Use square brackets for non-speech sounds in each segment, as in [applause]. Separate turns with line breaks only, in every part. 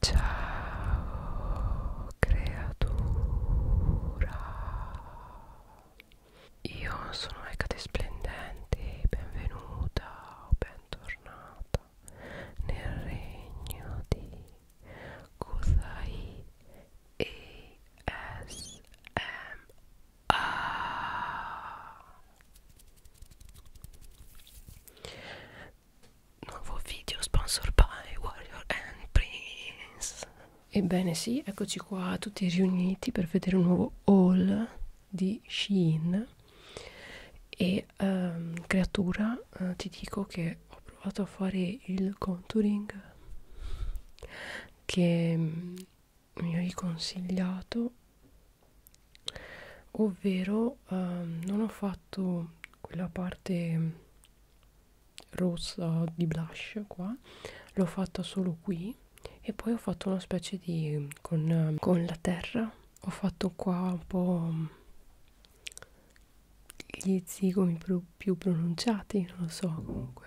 Ciao creatura Io sono Ecate Splendente Benvenuta o bentornata nel regno di Kusai ASMR Nuovo video sponsor by Warrior and Prince. Ebbene sì, eccoci qua tutti riuniti per vedere un nuovo haul di Shein e um, creatura uh, ti dico che ho provato a fare il contouring che mi hai consigliato ovvero ehm, non ho fatto quella parte rossa di blush qua l'ho fatta solo qui e poi ho fatto una specie di con, con la terra ho fatto qua un po' gli zigomi più, più pronunciati non lo so comunque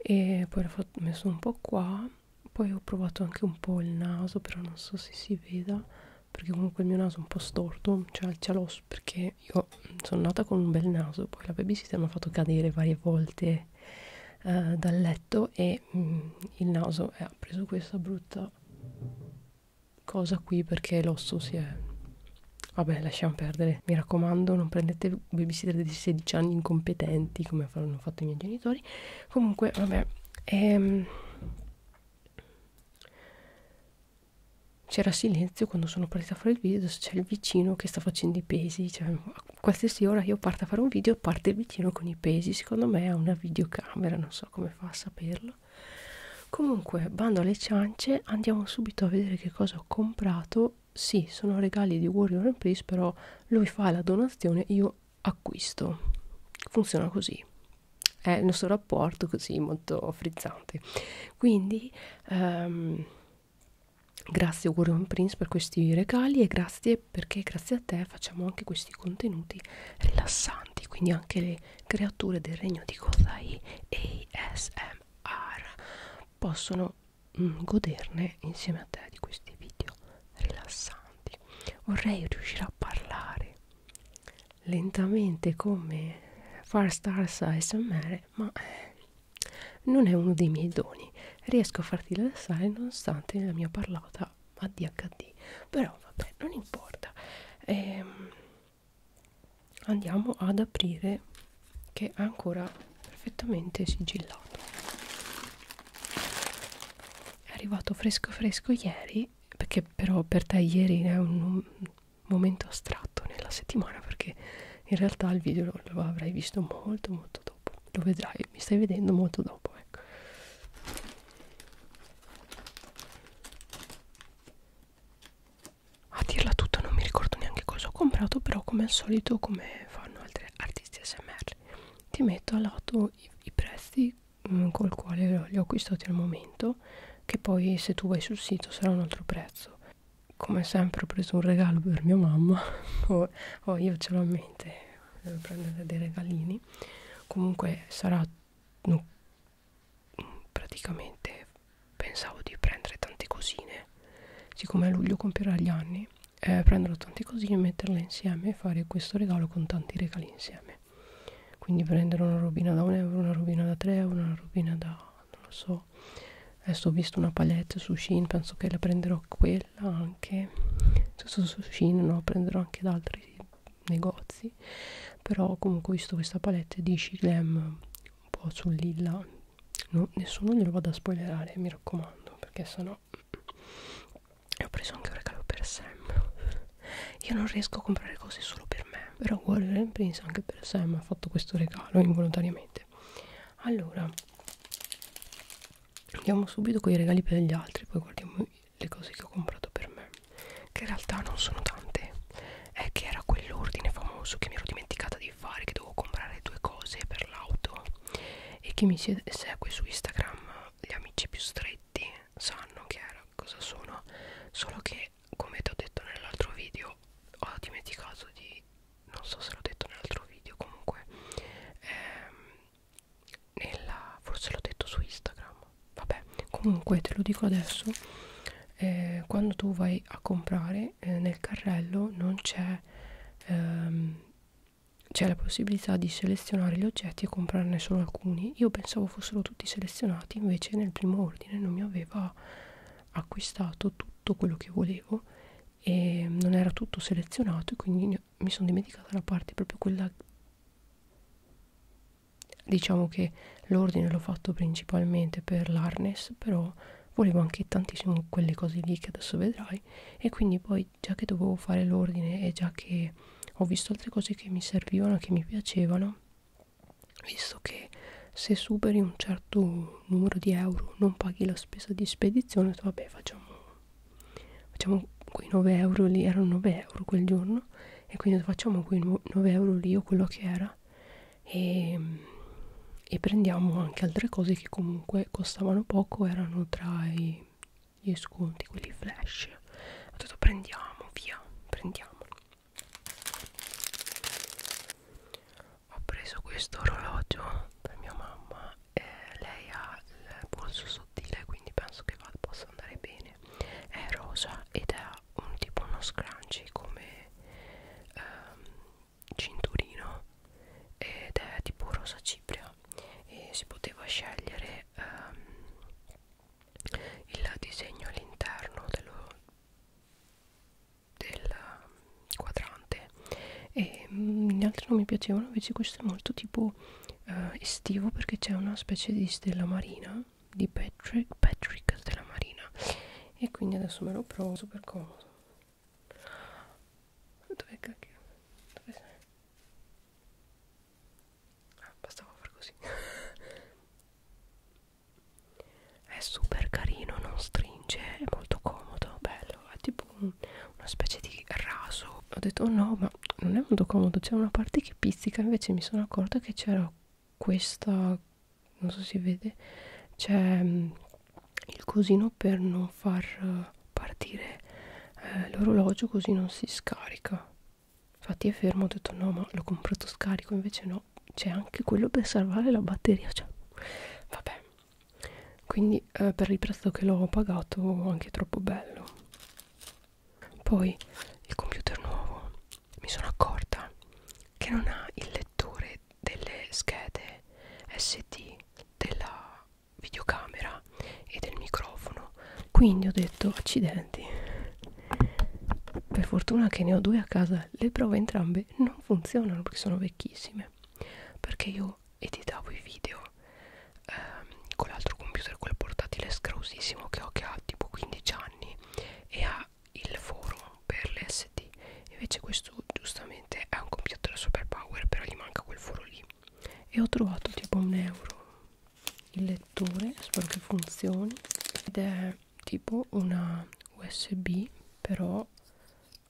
e poi l'ho messo un po' qua poi ho provato anche un po' il naso però non so se si veda perché comunque il mio naso è un po' storto, cioè c'è l'osso perché io sono nata con un bel naso, poi la babysitter mi ha fatto cadere varie volte eh, dal letto e mh, mm, il naso eh, ha preso questa brutta cosa qui perché l'osso si è... Vabbè, lasciamo perdere. Mi raccomando, non prendete babysitter di 16 anni incompetenti come hanno fatto i miei genitori. Comunque, vabbè, ehm, c'era silenzio quando sono partita a fare il video c'è il vicino che sta facendo i pesi cioè a qualsiasi ora io parto a fare un video parte il vicino con i pesi secondo me ha una videocamera non so come fa a saperlo comunque bando alle ciance andiamo subito a vedere che cosa ho comprato sì sono regali di Warrior and Priest però lui fa la donazione io acquisto. Funziona così. È il nostro rapporto così molto frizzante. Quindi um, grazie Warren Prince per questi regali e grazie perché grazie a te facciamo anche questi contenuti rilassanti, quindi anche le creature del regno di Kozai ASMR possono mm, goderne insieme a te di questi video rilassanti. Vorrei riuscire a parlare lentamente come Far Stars ASMR, ma non è uno dei miei doni. Riesco a farti rilassare nonostante la mia parlata ADHD, però vabbè, non importa. Ehm, andiamo ad aprire che è ancora perfettamente sigillato. È arrivato fresco fresco ieri ieri, perché però per te ieri è un, un momento astratto nella settimana, perché in realtà il video lo, lo avrai visto molto molto dopo, lo vedrai, mi stai vedendo molto dopo, ecco. A dirla tutta non mi ricordo neanche cosa ho comprato, però come al solito, come fanno altri artisti SMR, ti metto a lato i, i prezzi mh, mm, col quale li ho acquistati al momento che poi se tu vai sul sito sarà un altro prezzo come sempre ho preso un regalo per mia mamma [laughs] o oh, io ce l'ho a mente devo prendere dei regalini comunque sarà no, praticamente pensavo di prendere tante cosine siccome a luglio compirà gli anni eh, prenderò tante cosine metterle insieme e fare questo regalo con tanti regali insieme quindi prendere una robina da 1 euro, una robina da 3 euro, una robina da non lo so. Adesso ho visto una palette su Shein, penso che la prenderò quella anche. Cioè, su, su Shein no, prenderò anche da altri negozi. Però comunque ho visto questa palette di Shiglam un po' sul lilla. No, nessuno glielo vado a spoilerare, mi raccomando, perché sennò no e ho preso anche un regalo per Sam io non riesco a comprare cose solo per me però Warren pensa anche per Sam ha fatto questo regalo involontariamente allora andiamo subito con i regali per gli altri poi guardiamo le cose che ho comprato per me che in realtà non sono tante è che era quell'ordine famoso che mi ero dimenticata di fare che dovevo comprare due cose per l'auto e che mi segue su Instagram gli amici più stretti sospetti sanno che era, cosa sono solo che come ti ho detto nell'altro video ho dimenticato di non so se l'ho detto nell'altro video comunque ehm, nella, forse l'ho detto su Instagram vabbè comunque te lo dico adesso eh, quando tu vai a comprare eh, nel carrello non c'è ehm, c'è la possibilità di selezionare gli oggetti e comprarne solo alcuni. Io pensavo fossero tutti selezionati, invece nel primo ordine non mi aveva acquistato tutto quello che volevo e non era tutto selezionato e quindi mi sono dimenticata la parte proprio quella diciamo che l'ordine l'ho fatto principalmente per l'harness però volevo anche tantissimo quelle cose lì che adesso vedrai e quindi poi già che dovevo fare l'ordine e già che ho visto altre cose che mi servivano, che mi piacevano, visto che se superi un certo numero di euro non paghi la spesa di spedizione, vabbè facciamo, facciamo quei 9 euro lì, erano 9 euro quel giorno, e quindi facciamo quei 9 euro lì o quello che era e, e prendiamo anche altre cose che comunque costavano poco, erano tra i gli sconti, quelli flash ho detto prendiamo, via, prendiamo ho preso questo orologio per mia mamma eh, lei ha il polso sottile quindi penso che possa andare bene è rosa ed ha un tipo uno scrunchie come ehm, cinturino ed è tipo rosa cipria e si poteva scegliere ehm, il disegno all'interno del ehm, quadrante e mm, gli altri non mi piacevano invece questo è molto tipo eh, estivo perché c'è una specie di stella marina di Patrick, Patrick stella marina e quindi adesso me lo provo super comodo dove cacchio? Dove sei? Ah, bastava far così. [laughs] è super carino, non stringe, è molto comodo, bello, è tipo un, una specie di raso. Ho detto oh no, ma non è molto comodo, c'è una parte che pizzica, invece mi sono accorta che c'era questa, non so se si vede, c'è mm, il cosino per non far partire eh, l'orologio così non si scarica infatti è fermo ho detto no ma l'ho comprato scarico invece no c'è anche quello per salvare la batteria cioè vabbè quindi eh, per il prezzo che l'ho pagato anche troppo bello poi il computer nuovo mi sono accorta che non ha il lettore delle schede SD della videocamera e del microfono quindi ho detto accidenti per fortuna che ne ho due a casa le prove entrambe non funzionano perché sono vecchissime perché io editavo i video ehm, con l'altro computer quel portatile scrausissimo che ho che ha tipo 15 anni e ha il forum per l'SD invece questo giustamente è un computer super power però gli manca quel foro lì e ho trovato tipo un euro il lettore spero che funzioni ed è tipo una usb però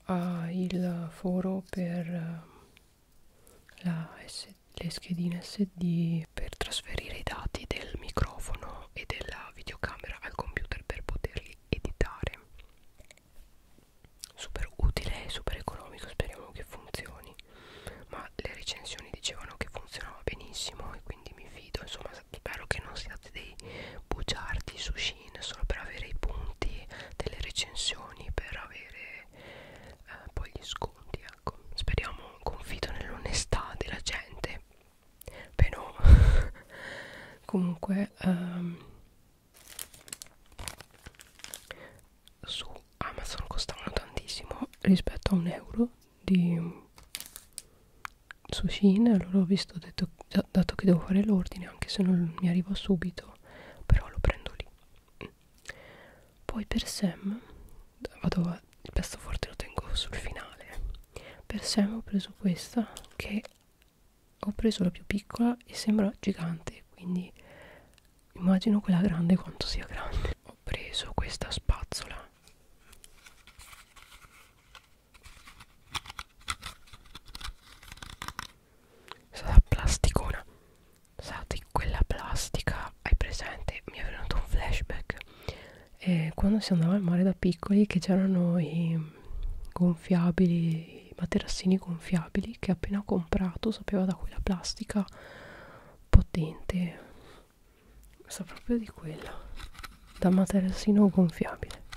ha il foro per eh, la SD le schedine SD per trasferire i dati del microfono e della videocamera al computer per poterli editare super utile e super economico speriamo che funzioni ma le recensioni dicevano che funzionava benissimo e quindi mi fido insomma spero che non siate dei bugiardi su Shin solo per avere i punti delle recensioni per avere eh, poi gli sconti ecco speriamo confido nell'onestà della gente beh [laughs] no comunque um, su Amazon costavano tantissimo rispetto a un euro di sushi allora ho visto ho detto dato che devo fare l'ordine anche se non mi arriva subito però lo prendo lì poi per Sam vado a, il pezzo forte lo tengo sul finale per Sam ho preso questa che ho preso la più piccola e sembra gigante quindi immagino quella grande quanto sia grande ho preso questa spazzola sarà plasticona Sati, quella plastica hai presente mi è venuto un flashback e eh, quando si andava al mare da piccoli che c'erano i gonfiabili i materassini gonfiabili che appena comprato sapeva da quella plastica potente sa proprio di quella da materassino gonfiabile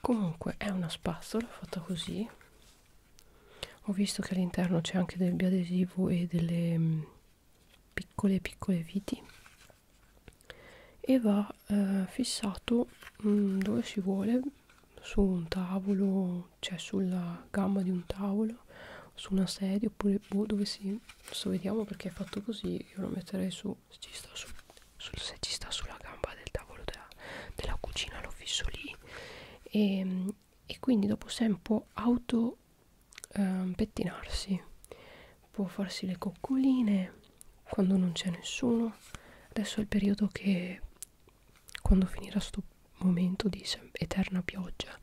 comunque è una spazzola fatta così ho visto che all'interno c'è anche del biadesivo e delle mh, mm, piccole piccole viti e va eh, fissato mh, mm, dove si vuole su un tavolo cioè sulla gamma di un tavolo su una sedia oppure boh, dove si adesso vediamo perché è fatto così io lo metterei su ci sta su sul saggista sulla gamba del tavolo della, della cucina l'ho fisso lì e, ehm, e quindi dopo se un po' auto eh, pettinarsi può farsi le coccoline quando non c'è nessuno adesso è il periodo che quando finirà sto momento di eterna pioggia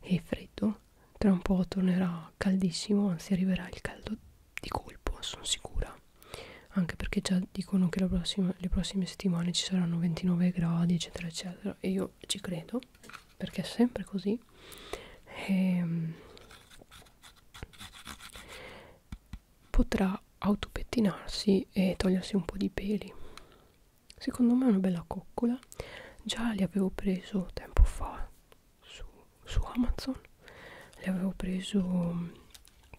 e freddo tra un po' tornerà caldissimo anzi arriverà il caldo di colpo sono sicura anche perché già dicono che prossima, le prossime settimane ci saranno 29 gradi eccetera eccetera e io ci credo perché è sempre così e, ehm, potrà autopettinarsi e togliersi un po' di peli secondo me è una bella coccola già li avevo preso tempo fa su, su Amazon le avevo preso mm,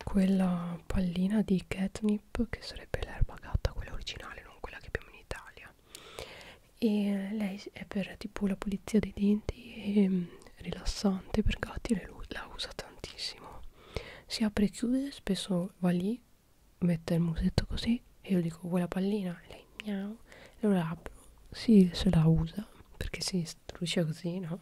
quella pallina di catnip che sarebbe l'erba gatta quella originale non quella che abbiamo in Italia e lei è per tipo la pulizia dei denti e mm, rilassante per gatti lei la usa tantissimo si apre e chiude spesso va lì mette il musetto così e io dico vuoi la pallina? E lei miau allora apro, si sì, se la usa perché si truce così no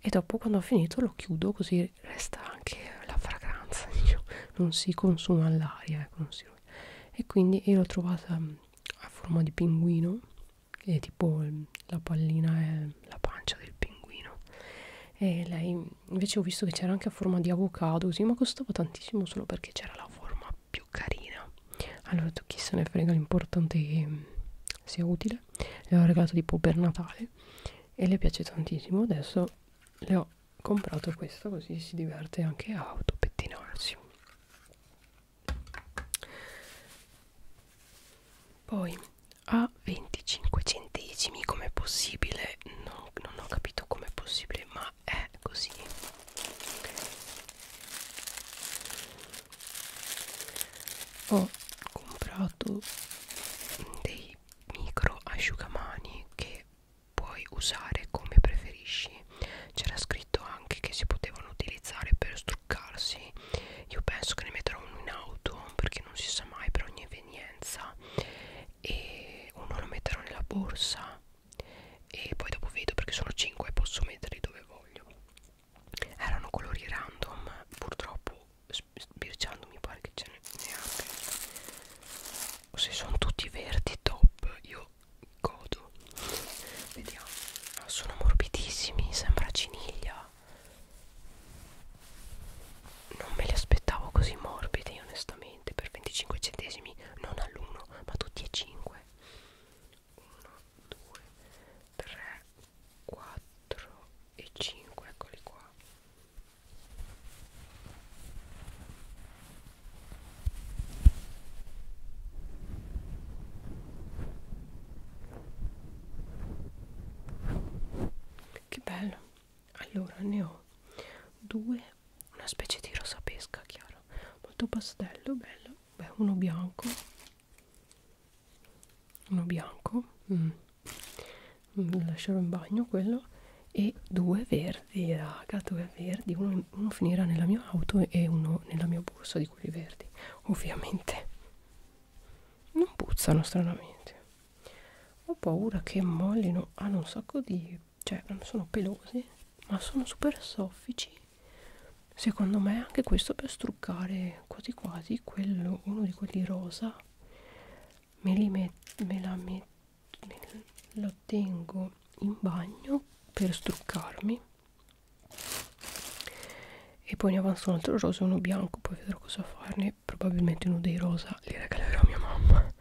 e dopo quando ho finito lo chiudo così resta anche la fragranza [laughs] diciamo. non si consuma all'aria ecco, non si... e quindi io l'ho trovata mm, a forma di pinguino che è tipo mm, la pallina è la pancia del pinguino e lei mm, invece ho visto che c'era anche a forma di avocado così ma costava tantissimo solo perché c'era la forma più carina allora tu chi se ne frega l'importante è che sia utile Natale le ho regalato tipo per Natale e le piace tantissimo adesso le ho comprato questo così si diverte anche a autopettinarsi poi a 25 centesimi com'è possibile non, non ho capito com'è possibile ma è così ho comprato dei micro asciugamani che puoi usare come preferisci c'era scritto anche che si potevano utilizzare per struccarsi io penso che ne metterò uno in auto perché non si sa mai per ogni evenienza e uno lo metterò nella borsa e poi dopo vedo perché sono 5 e posso metterli dove voglio erano colori random purtroppo sbirciando mi pare che ce ne neanche se sono tutti verdi top io godo vediamo ah, sono morbidissimi sembra ciniglia non me li aspettavo così morbidi onestamente per 25 centesimi non all'1 ma tutti e 5 1 2 3 4 e 5 eccoli qua che bello allora ne ho due una specie di rosa pesca chiaro molto pastello bello beh uno bianco uno bianco mm. mm lascerò in bagno quello e due verdi raga due verdi uno, uno finirà nella mia auto e uno nella mia borsa di quelli verdi ovviamente non puzzano stranamente ho paura che mollino hanno ah, un sacco di cioè non sono pelosi ma sono super soffici secondo me anche questo per struccare quasi quasi quello uno di quelli rosa me li met, me la metto lo tengo in bagno per struccarmi e poi ne avanzo un altro rosa e uno bianco poi vedrò cosa farne probabilmente uno dei rosa li regalerò a mia mamma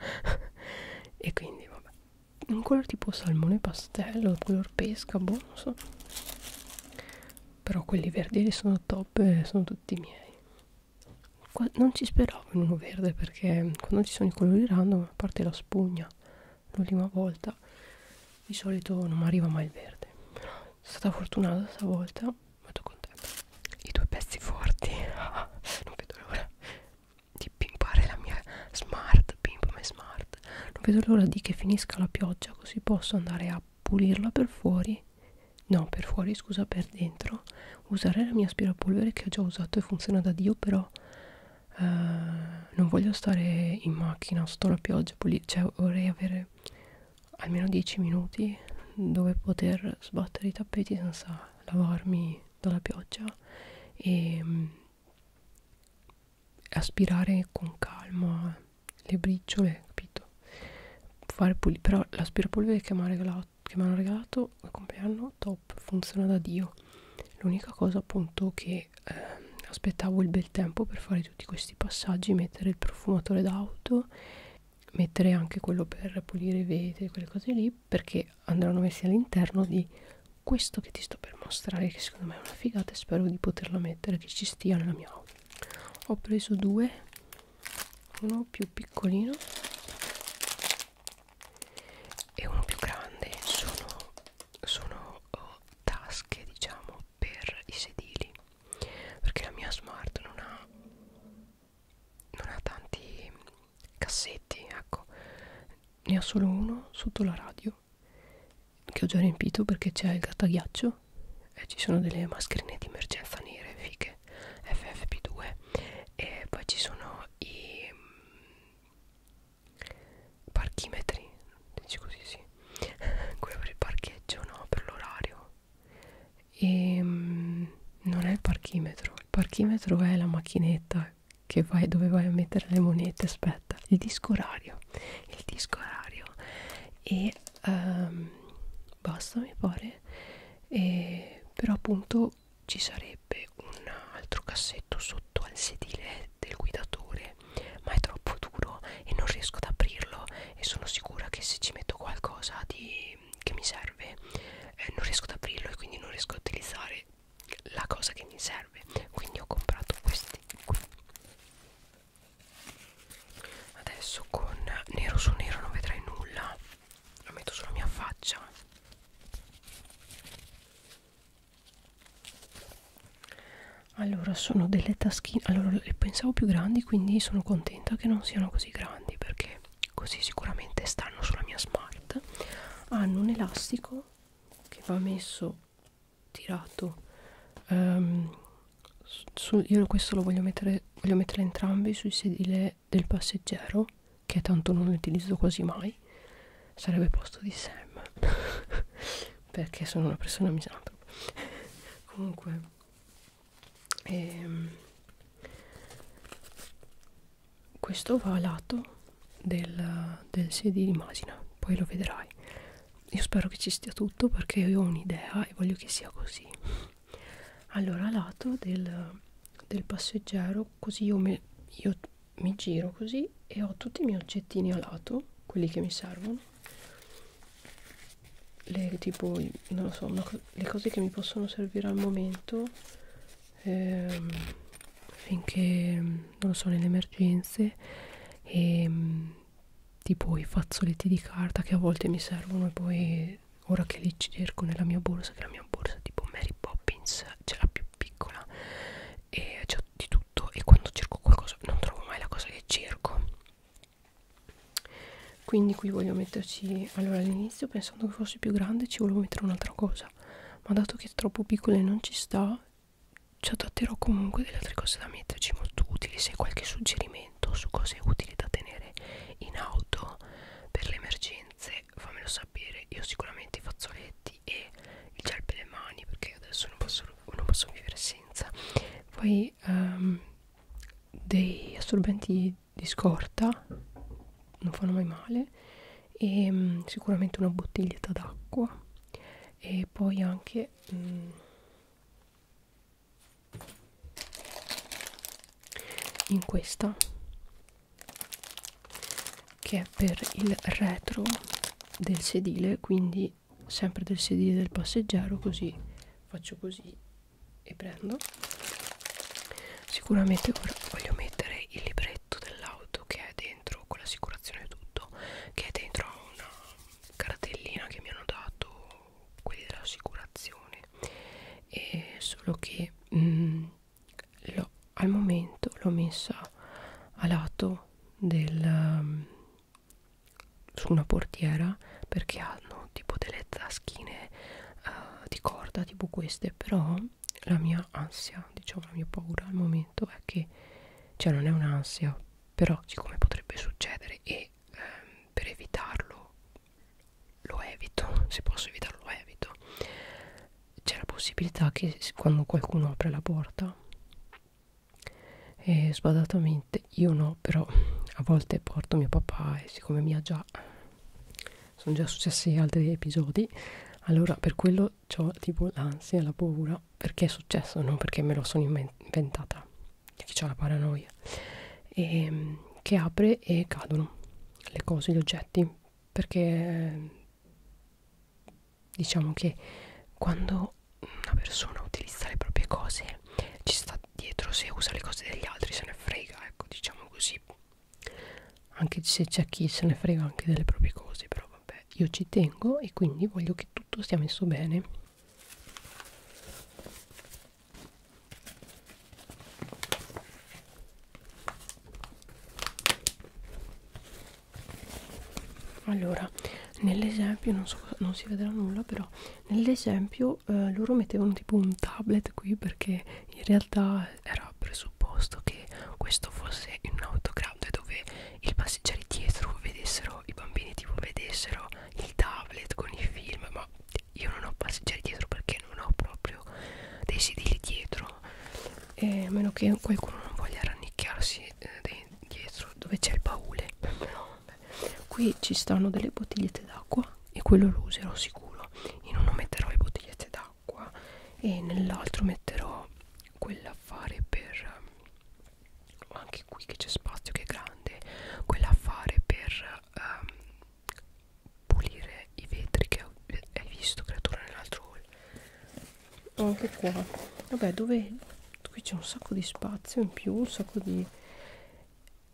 [laughs] e quindi vabbè un colore tipo salmone pastello color pesca boh non so però quelli verdi sono top e sono tutti miei Qua non ci speravo in uno verde perché quando ci sono i colori random a parte la spugna l'ultima volta di solito non mi arriva mai il verde però sono stata fortunata stavolta molto contenta i due pezzi forti [laughs] non vedo l'ora di pimpare la mia smart pimp my smart non vedo l'ora di che finisca la pioggia così posso andare a pulirla per fuori no per fuori scusa per dentro usare la mia aspirapolvere che ho già usato e funziona da dio però eh, non voglio stare in macchina sotto la pioggia cioè vorrei avere almeno 10 minuti dove poter sbattere i tappeti senza lavarmi dalla pioggia e ehm, aspirare con calma le briciole, capito? Fare puli però l'aspirapolvere che mi hanno regalato, regalato al compleanno top, funziona da Dio. L'unica cosa appunto che eh, aspettavo il bel tempo per fare tutti questi passaggi, mettere il profumatore d'auto, mettere anche quello per pulire i vetri, quelle cose lì, perché andranno messi all'interno di questo che ti sto per mostrare che secondo me è una figata e spero di poterla mettere che ci stia nella mia auto ho preso due uno più piccolino e uno più grande sono, sono oh, tasche diciamo per i sedili perché la mia smart non ha non ha tanti cassetti ecco ne ho solo uno sotto la radio ghiaccio che ho già riempito perché c'è il grattaghiaccio e ci sono delle mascherine di emergenza nere fiche FFP2 e poi ci sono i mm, parchimetri dici così sì [laughs] quello per il parcheggio no per l'orario e mm, non è il parchimetro il parchimetro è la macchinetta che vai dove vai a mettere le monete spesso aspetta il disco orario il disco orario e um, basta mi pare e, però appunto ci sarebbe un altro cassetto sotto al sedile del guidatore ma è troppo duro e non riesco ad aprirlo e sono sicura che se ci metto qualcosa di, che mi serve eh, non riesco ad aprirlo e quindi non riesco a utilizzare la cosa che mi serve quindi ho comprato questi qui adesso con nero su nero non vedrai nulla lo metto sulla mia faccia allora sono delle taschine allora le pensavo più grandi quindi sono contenta che non siano così grandi perché così sicuramente stanno sulla mia smart hanno un elastico che va messo tirato um, su, io questo lo voglio mettere voglio mettere entrambi sul sedile del passeggero che tanto non utilizzo quasi mai sarebbe posto di Sam [laughs] perché sono una persona misantropa [laughs] comunque ehm, questo va a lato del, del CD di Masina, poi lo vedrai. Io spero che ci stia tutto perché io ho un'idea e voglio che sia così. Allora, a lato del, del passeggero, così io, me, io mi giro così e ho tutti i miei oggettini a lato, quelli che mi servono. Le, tipo, non lo so, una, le cose che mi possono servire al momento ehm, finché non lo so, nelle emergenze e ehm, tipo i fazzoletti di carta che a volte mi servono e poi ora che li cerco nella mia borsa, che la mia borsa tipo Mary Poppins, c'è la più piccola e c'è di tutto e quando cerco qualcosa non trovo mai la cosa che cerco quindi qui voglio metterci allora all'inizio pensando che fosse più grande ci volevo mettere un'altra cosa ma dato che è troppo piccola e non ci sta ci adatterò comunque delle altre cose da metterci molto utili se hai qualche suggerimento su cose utili da tenere in auto per le emergenze fammelo sapere io sicuramente i fazzoletti e il gel per le mani perché adesso non posso, non posso vivere senza poi um, dei assorbenti di scorta non fanno mai male e um, sicuramente una bottiglietta d'acqua e poi anche mm, in questa che è per il retro del sedile quindi sempre del sedile del passeggero così faccio così e prendo sicuramente ora voglio mettere il libretto dell'auto che è dei dentro con l'assicurazione e tutto che è dentro a una cartellina che mi hanno dato quelli dell'assicurazione e solo che mh, mm, al momento l'ho messa a lato del, mm, su una portiera perché hanno tipo delle taschine uh, eh, di corda tipo queste però la mia ansia diciamo la mia paura al momento momento è che cioè non è un'ansia però siccome potrebbe succedere e ehm, per evitarlo lo evito [laughs] se posso evitarlo lo evito c'è la possibilità che quando qualcuno apre la porta e sbadatamente io no però a volte porto mio papà e siccome mi ha già sono già successi altri episodi allora per quello io ho tipo l'ansia, la paura perché è successo, non perché me lo sono inventata, perché ho la paranoia, e, ehm, che apre e cadono le cose, gli oggetti, perché diciamo che quando una persona utilizza le proprie cose ci sta dietro se usa le cose degli altri, se ne frega, ecco diciamo così, anche se c'è chi se ne frega anche delle proprie cose, però vabbè io ci tengo e quindi voglio che tutto sia messo bene allora nell'esempio non so non si vedrà nulla però nell'esempio eh, loro mettevano tipo un tablet qui perché in realtà era presupposto che questo fosse un autogramma grande dove i passeggeri dietro vedessero i bambini tipo vedessero il tablet con i film ma io non ho passeggeri dietro perché non ho proprio dei sedili dietro e a meno che qualcuno non voglia rannicchiarsi eh, dietro dove c'è il baule no, qui ci stanno delle bottigliette d'acqua e quello lo userò sicuro io non metterò le bottigliette d'acqua acqua e nell'altro metterò quell'affare per eh, anche qui che c'è spazio che è grande quell'affare per um, pulire i vetri che hai visto creatura nell'altro haul anche qua vabbè dove qui c'è un sacco di spazio in più un sacco di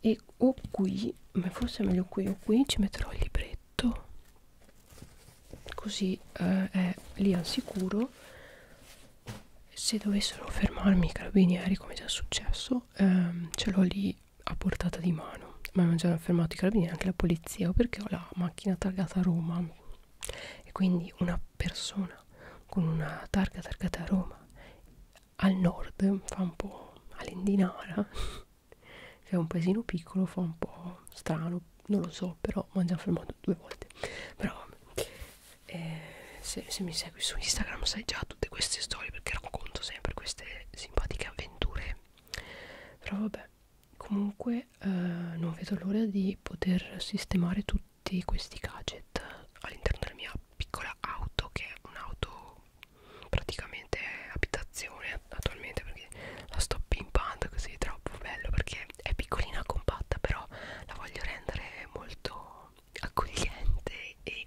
e o qui ma forse è meglio qui o qui ci metterò il libretto così eh, è lì al sicuro se dovessero fermarmi i carabinieri come già è successo ehm, ce l'ho lì a portata di mano ma non già hanno fermato i carabinieri anche la polizia o perché ho la macchina targata a Roma e quindi una persona con una targa targata a Roma al nord fa un po' all'indinara è un paesino piccolo fa un po' strano non lo so però mi hanno fermato due volte però eh, se, se mi segui su Instagram sai già tutte queste storie perché racconto sempre queste simpatiche avventure però vabbè comunque eh, non vedo l'ora di poter sistemare tutti questi gadget all'interno della mia piccola auto che è un'auto praticamente abitazione me attualmente perché la sto pimpando così troppo bello perché è piccolina compatta però la voglio rendere molto accogliente e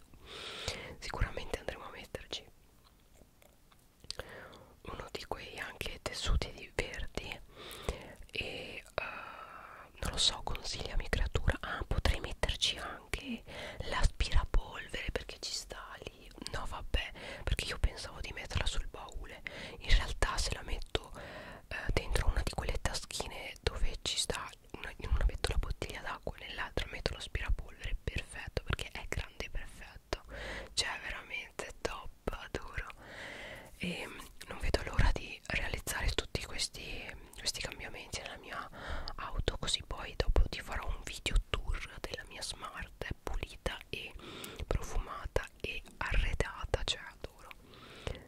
sicuramente andremo a metterci uno di quei anche tessuti di verdi e uh, non lo so consigliami creatura ah potrei metterci anche l'aspirapolvere perché ci sta lì no vabbè perché io pensavo di metterla sul baule in realtà se la metto eh, dentro una di quelle taschine dove ci sta una, in una metto la bottiglia d'acqua nell'altra metto l'aspirapolvere perfetto perché è grande perfetto cioè veramente top adoro e ehm, non vedo l'ora di realizzare tutti questi, questi cambiamenti nella mia auto così poi dopo ti farò un video tour della mia smart pulita bella e profumata e arredata cioè adoro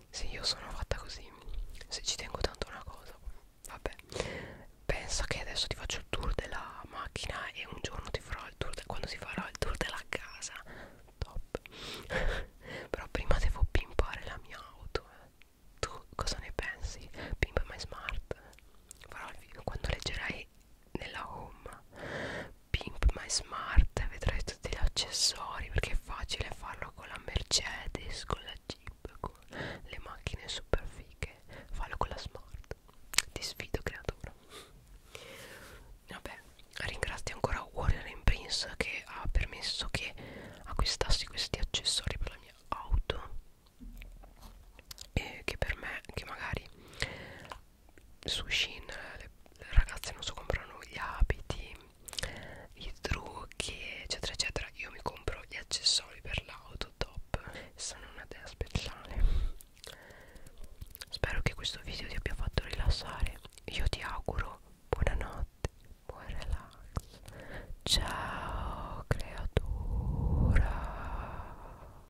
se io sono fatta così se ci tengo tanto una cosa vabbè pensa che adesso ti faccio il tour della macchina e un giorno ti farò il tour quando si farà il tour della casa top [laughs] però prima devo pimpare la mia auto eh. tu cosa ne pensi pimpa my smart farò il video quando leggerai nella home Pimp My Smart vedrai tutti gli accessori perché è facile farlo con la Mercedes, con la Jeep, con le macchine super fighe fallo con la Smart ti sfido creatura vabbè ringrazio ancora Warrior in Prince che ha permesso che acquistassi questi accessori per la mia auto e che per me che magari su Shin le, le ragazze non so comprano gli abiti i trucchi eccetera eccetera io mi compro gli accessori per l'auto top sono una dea speciale spero che questo video ti abbia fatto rilassare io ti auguro buonanotte buon relax ciao creatura